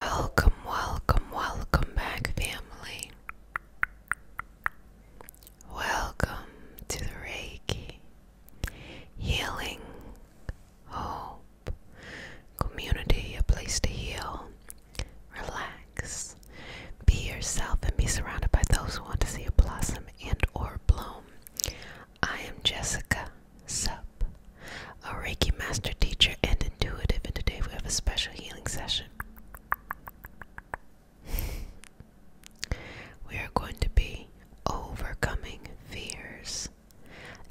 Welcome, welcome, welcome back, family. Welcome to the Reiki Healing Hope Community, a place to heal, relax, be yourself, and be surrounded by those who want to see you blossom and or bloom. I am Jessica Sub, a Reiki master teacher and intuitive, and today we have a special healing session. we are going to be overcoming fears.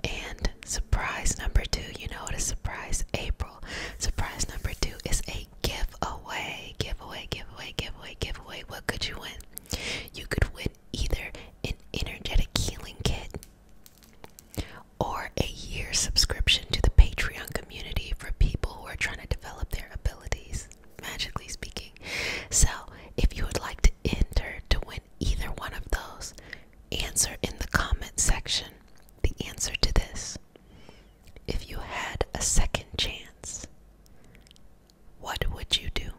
And surprise number two, you know what is surprise April? Surprise number two is a giveaway. Giveaway, giveaway, giveaway, giveaway. What could you win? You could win either an energetic healing kit or a year subscription to the Patreon community for people who are trying to develop their abilities, magically speaking. So, if you would like to enter to win either one of those, answer in the comment section the answer to this. If you had a second chance, what would you do?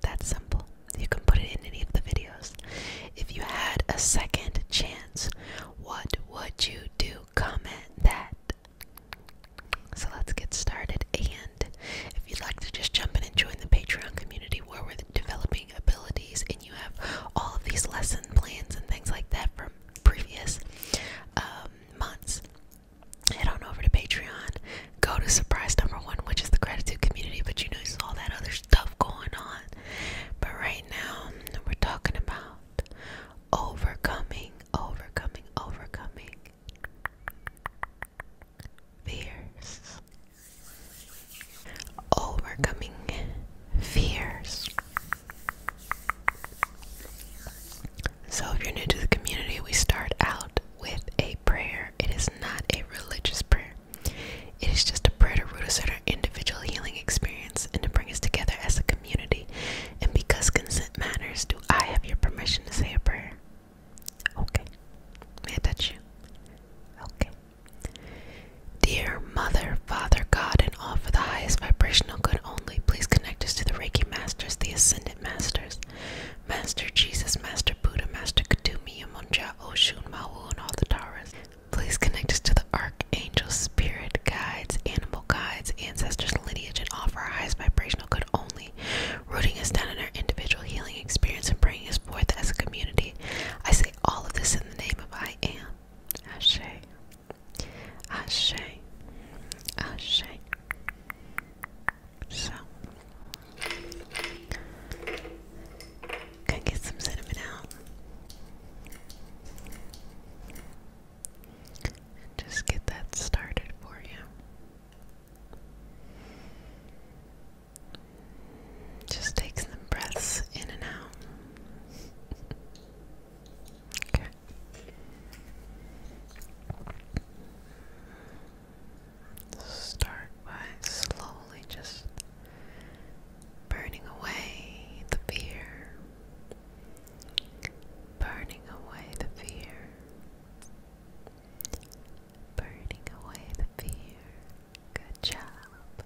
That's simple. You can put it in any of the videos. If you had a second chance, what would you do? Comment that. So let's get started. And if you'd like to just jump in and join the Patreon community where we're developing abilities and you have all of these lesson plans and things like that from previous um, months, head on over to Patreon. Go to surprise number one, which is the gratitude community, but you know, there's all that other stuff going on. But right now, we're talking about overcoming, overcoming, overcoming fears. Overcoming fears. So, if you're new to the community, we start out with a prayer. It is not a religious prayer, it is just a prayer to root us in our individual healing experience and to bring us together as a community. And because consent matters, do I have your permission to say a prayer? Okay. May I touch you? Okay. Dear Mother, Father, God, and all for the highest vibrational good only, please connect us to the Reiki Masters, the Ascendant Masters, Master Jesus, Master Buddha, Master Kadumi, Amunja, Oshun, Mawu, and all the Taras. Please connect us to the Archangel, Spirit Guides, Animal Guides, Ancestors, Lineage, and offer our highest vibrational good only, rooting us down in our individual healing experience and bringing us forth as a community. I say all of this in the name of I Am. Ashe. Ashe. Ashe. So, gotta get some cinnamon out. just get that started for you. Just take some breaths in and out. okay. Start by slowly just burning away the fear, burning away the fear, burning away the fear. Good job,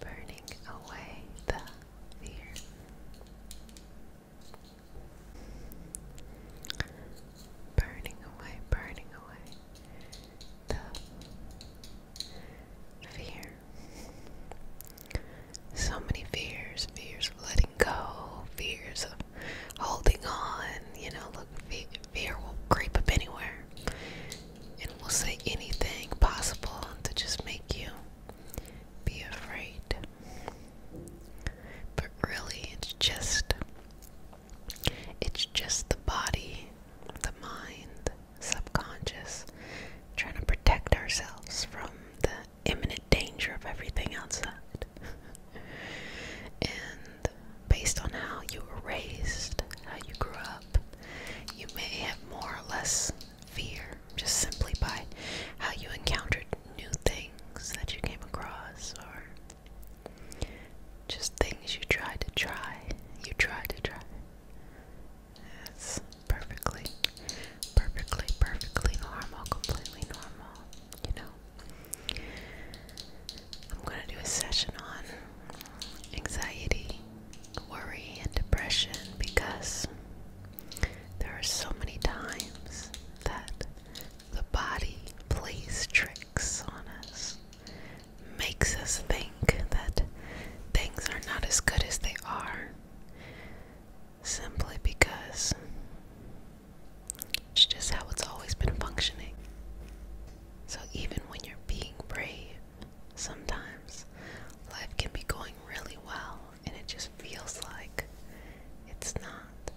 burning away the fear. Burning away, burning away the fear. So many fears fears of letting go, fears of holding on. You know, look, fear will creep up anywhere and will say anything possible to just make you be afraid. But really, it's just it's just the body, the mind, subconscious trying to protect ourselves from the imminent danger of everything outside. and based on how you were raised, how you grew up, you may have more or less fear just simply by how you encountered new things that you came across or just things you try to try. You try to try. That's perfectly, perfectly, perfectly normal, completely normal, you know. I'm going to do a session on anxiety, worry, and depression because there are so many times that the body plays tricks on us, makes us think that things are not as good as they are simply because it's just how it's always been functioning. So, even when you're being brave, sometimes life can be going really well and it just feels like it's not.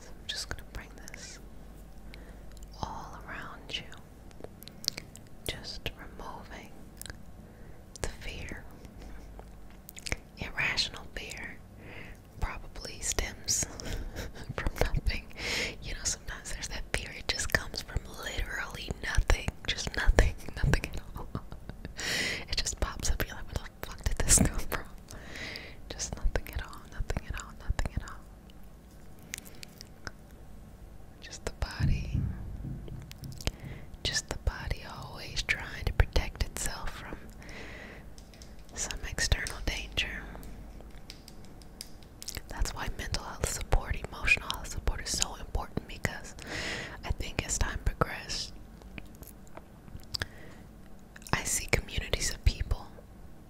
so I'm just going to bring this all around you, just removing the fear. Irrational fear probably stems from nothing. You know, sometimes there's that fear, it just comes from literally nothing. Just nothing, nothing at all. it just pops up. you like, what fuck did this come from? Just nothing at all, nothing at all, nothing at all. Just the body. Just the body always trying to protect itself from some external danger. That's why mental health support, emotional support is so important because I think as time progressed, I see communities of people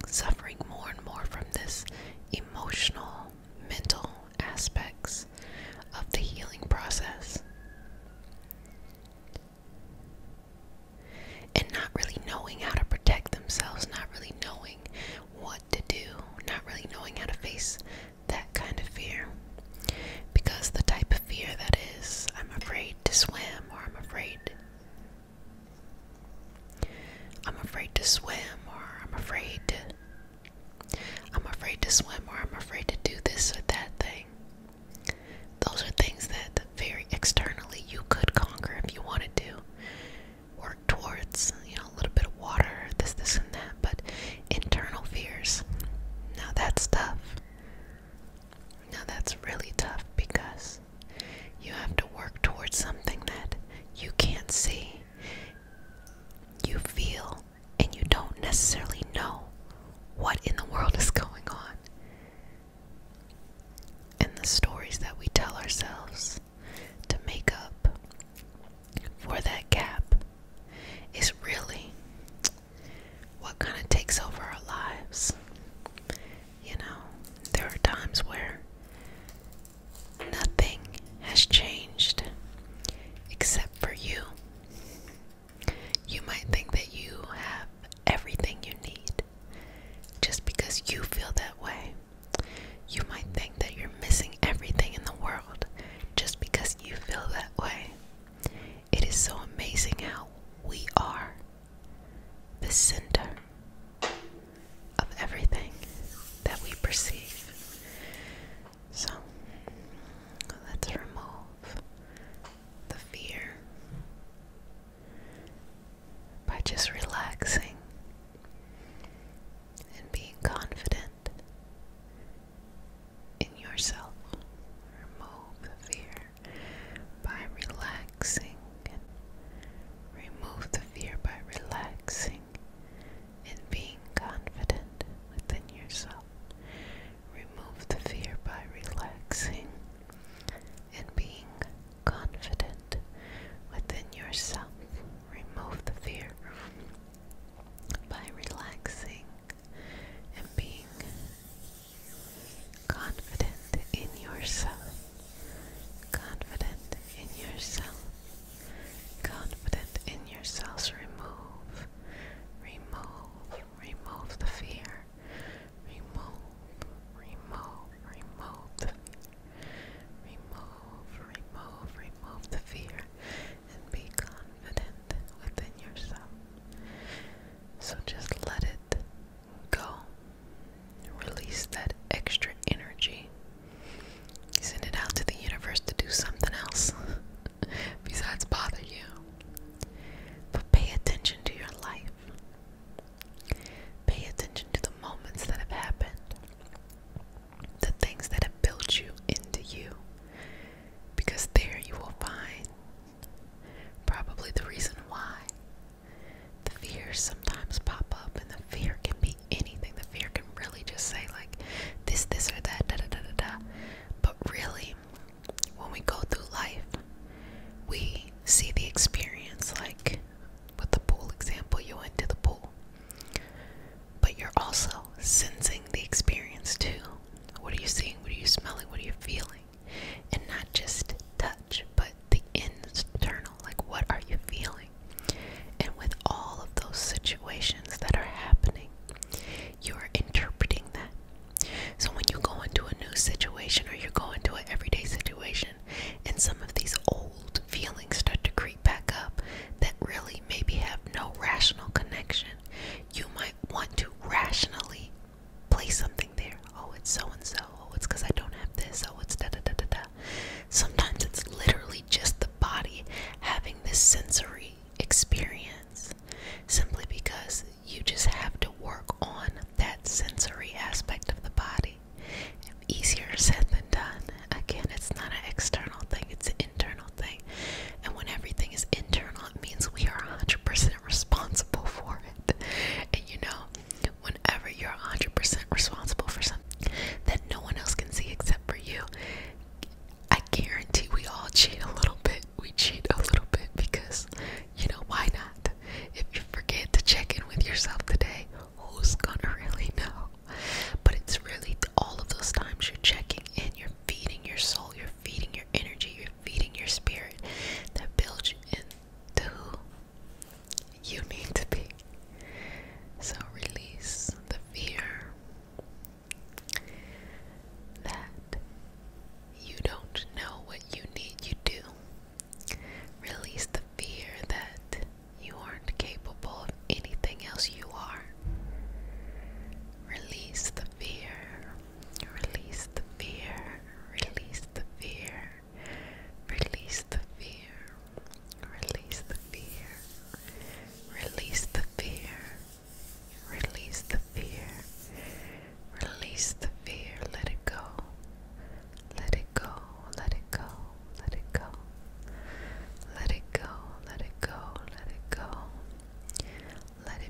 suffering more and more from this emotional, mental aspects of the healing process. And not really knowing how to protect themselves, not really knowing what to do, not really knowing how to face that kind of fear. Because the type of fear that is, I'm afraid to swim, I'm afraid. I'm afraid to swim, or I'm afraid to. I'm afraid to swim, or I'm afraid to do this or that thing. Those are things that very externally you could conquer if you wanted to. Work towards, you know, a little bit of water, this, this, and that, but internal fears. Now that's tough. Now that's really tough because you have to work towards something that you can't see, you feel, and you don't necessarily know what in the world is going on. And the stories that we tell ourselves to make up for that gap is really what kind of takes over our lives. You know, there are times where nothing has changed except for you. You might think that you have everything you need just because you feel that way. You might think that you're missing everything in the world just because you feel that way. It is so amazing how we are the center of everything that we perceive. So let's remove the fear by just relaxing and being confident in yourself. Remove the fear by relaxing. Remove the fear by relaxing and being confident within yourself. Remove the fear by relaxing and being confident within yourself. Remove the fear by relaxing and being confident in yourself, confident in yourself, confident in yourselves. Remove, remove, remove the fear, remove, remove, remove the fear, remove, remove, remove the fear, and be confident within yourself. So just let it go. Release that extra energy. Send it out to the universe to do something else besides bother you. But pay attention to your life. Pay attention to the moments that have happened, the things that have built you into you, because there you will find Probably the reason why. The fears sometimes pop up, and the fear can be anything. The fear can really just say, like, this, this, or that, da da da da da. But really, when we go through life, we see the experience, like with the pool example, you went to the pool. But you're also sensing the experience too. What are you seeing? What are you smelling? What are you feeling? and not just touch but the internal like what are you feeling and with all of those situations that are happening you're interpreting that so when you go into a new situation or you go into an everyday situation and some of these old feelings start to creep back up that really maybe have no rational connection you might want to rationally place something there. Oh, it's so and so. Oh, it's because I don't have this. Oh, it's da da da da da. Sometimes it's literally just the body having this sensory experience simply because you just have to work on that sensory aspect of the body. Easier said than done. Again, it's not an external thing, it's an internal thing. And when everything is internal, it means we are 100% responsible for it. And you know, whenever you're 100% responsible for something that no one else can see except for you, I guarantee we all cheat a little bit. We cheat a little bit because, you know, why not? If you forget to check in with yourself today, who's gonna really know? But it's really all of those times you're checking in, you're feeding your soul, you're feeding your energy, you're feeding your spirit that builds into who you need to be. So release the fear that you don't know what you need, you do. Release the fear that you aren't capable of anything else you are. Release the fear Release the fear, release the fear, release the fear, release the fear, release the fear, release the fear, release the fear, let it go, let it go, let it go, let it go, let it go, let it go, let it go. Let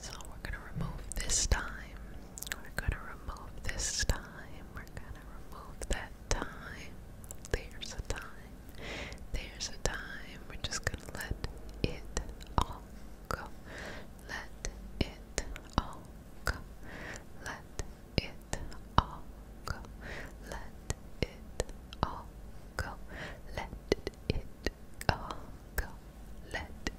So we're gonna remove this time. We're gonna remove this time. We're gonna remove that time. There's a time. There's a time. We're just gonna let it all go. Let it all go. Let it all go. Let it all go. Let it all go. Let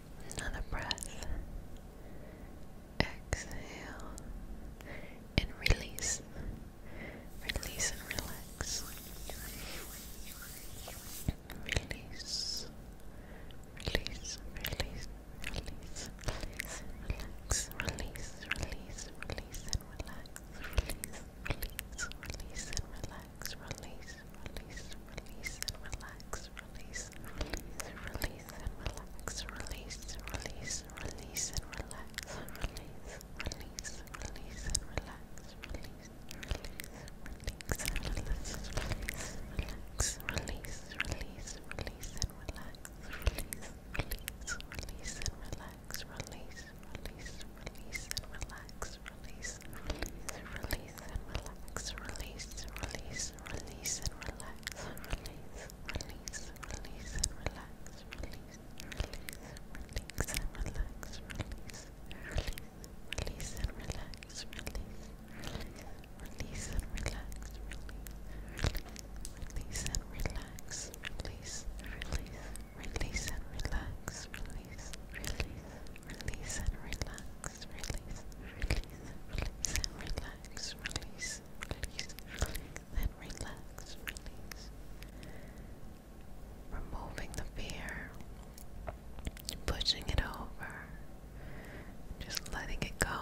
another breath. Exhale and release. Release relax. Release. Release, release, release, release, relax, release, release, release, and relax, release, release, release, and relax relax, release, release, release, and relax, release, release, release, and relax, release, release, release, and relax, release, release, release, and relax, release, release, release, and relax, release, relax, release, release, release, and relax, release, release, release, and relax, release, release, release, and relax release, release and relax, release, release, release and relax, release, release, release and relax, release, release, release and relax, release, release, release and relax, release, release, release and relax, release, release and relax, release, release, release and relax, release, release. Release, Release and relax. Release, release, release and relax. Release, release, release and relax. Release. Removing the fear. Pushing it over. Just letting it go.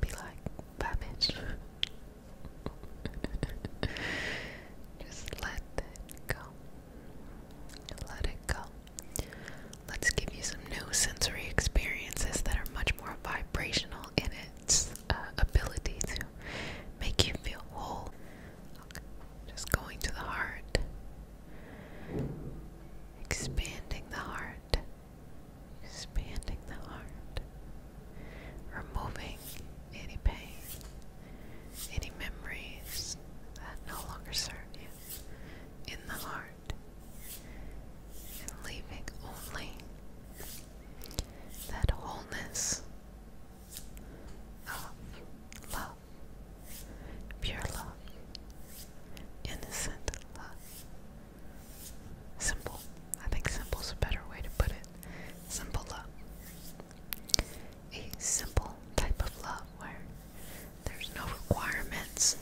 Be like, Babbage. Just let it go. Let it go. Let's give you some new sensory experiences that are much more vibrational in its uh, ability to make you feel whole. Just going to the heart, expanding the heart, expanding the heart, removing any pain, any memories that no longer serve you in the heart and leaving only that wholeness of love, pure love, innocent love. Simple. I think simple's a better way to put it. Simple love. A simple type of love where there's no requirements,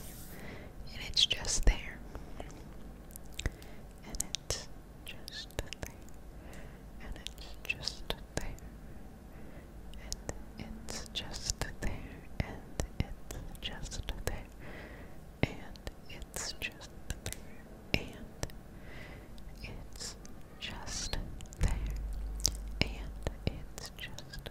and it's just there. And it's just there. And it's just there. And it's just there. And it's just there. And it's just there. And it's just there. And it's just there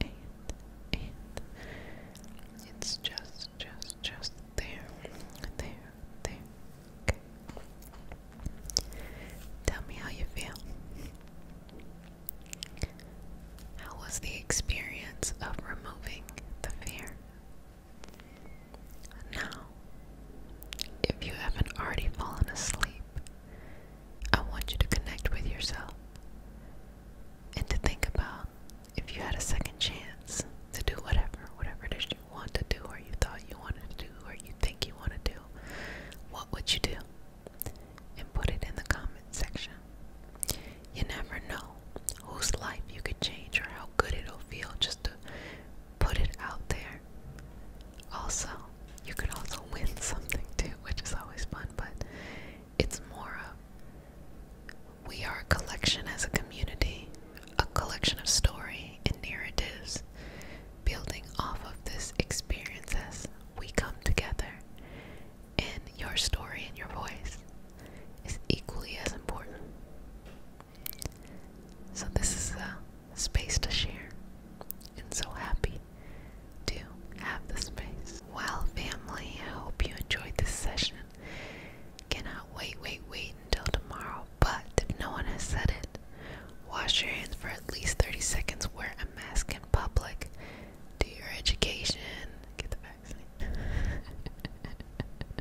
and, and it's just, just, just there, there, there. Okay. Tell me how you feel. How was the experience of removing the fear? Now, if you haven't already fallen asleep, I want you to connect with yourself and to think about if you had a second chance to do whatever, whatever it is you want to do, or you thought you wanted to do, or you think you want to do, what would you do? And put it in the comment section. You never know whose life you could change or how good it'll feel just to put it out there. Also, you could also win something too, which is always fun, but it's more of we are a collection as a community, a collection of story and narratives, building off of this experience as we come together. And your story and your voice is equally as important. So, this is a space to share, and so happy do have the space. Well, family, I hope you enjoyed this session. Cannot wait, wait, wait until tomorrow. But if no one has said it, wash your hands for at least 30 seconds, wear a mask in public, do your education, get the vaccine.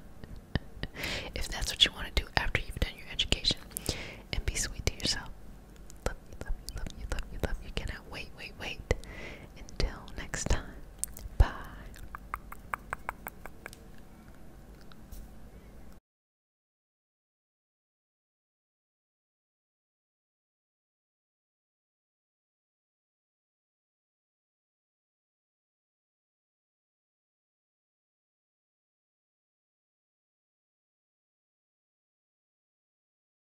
if that's what you want to do after you've done your education, and be sweet to yourself. Love you, love you, love you, love you, love you. Cannot wait, wait, wait. Until next time. Bye.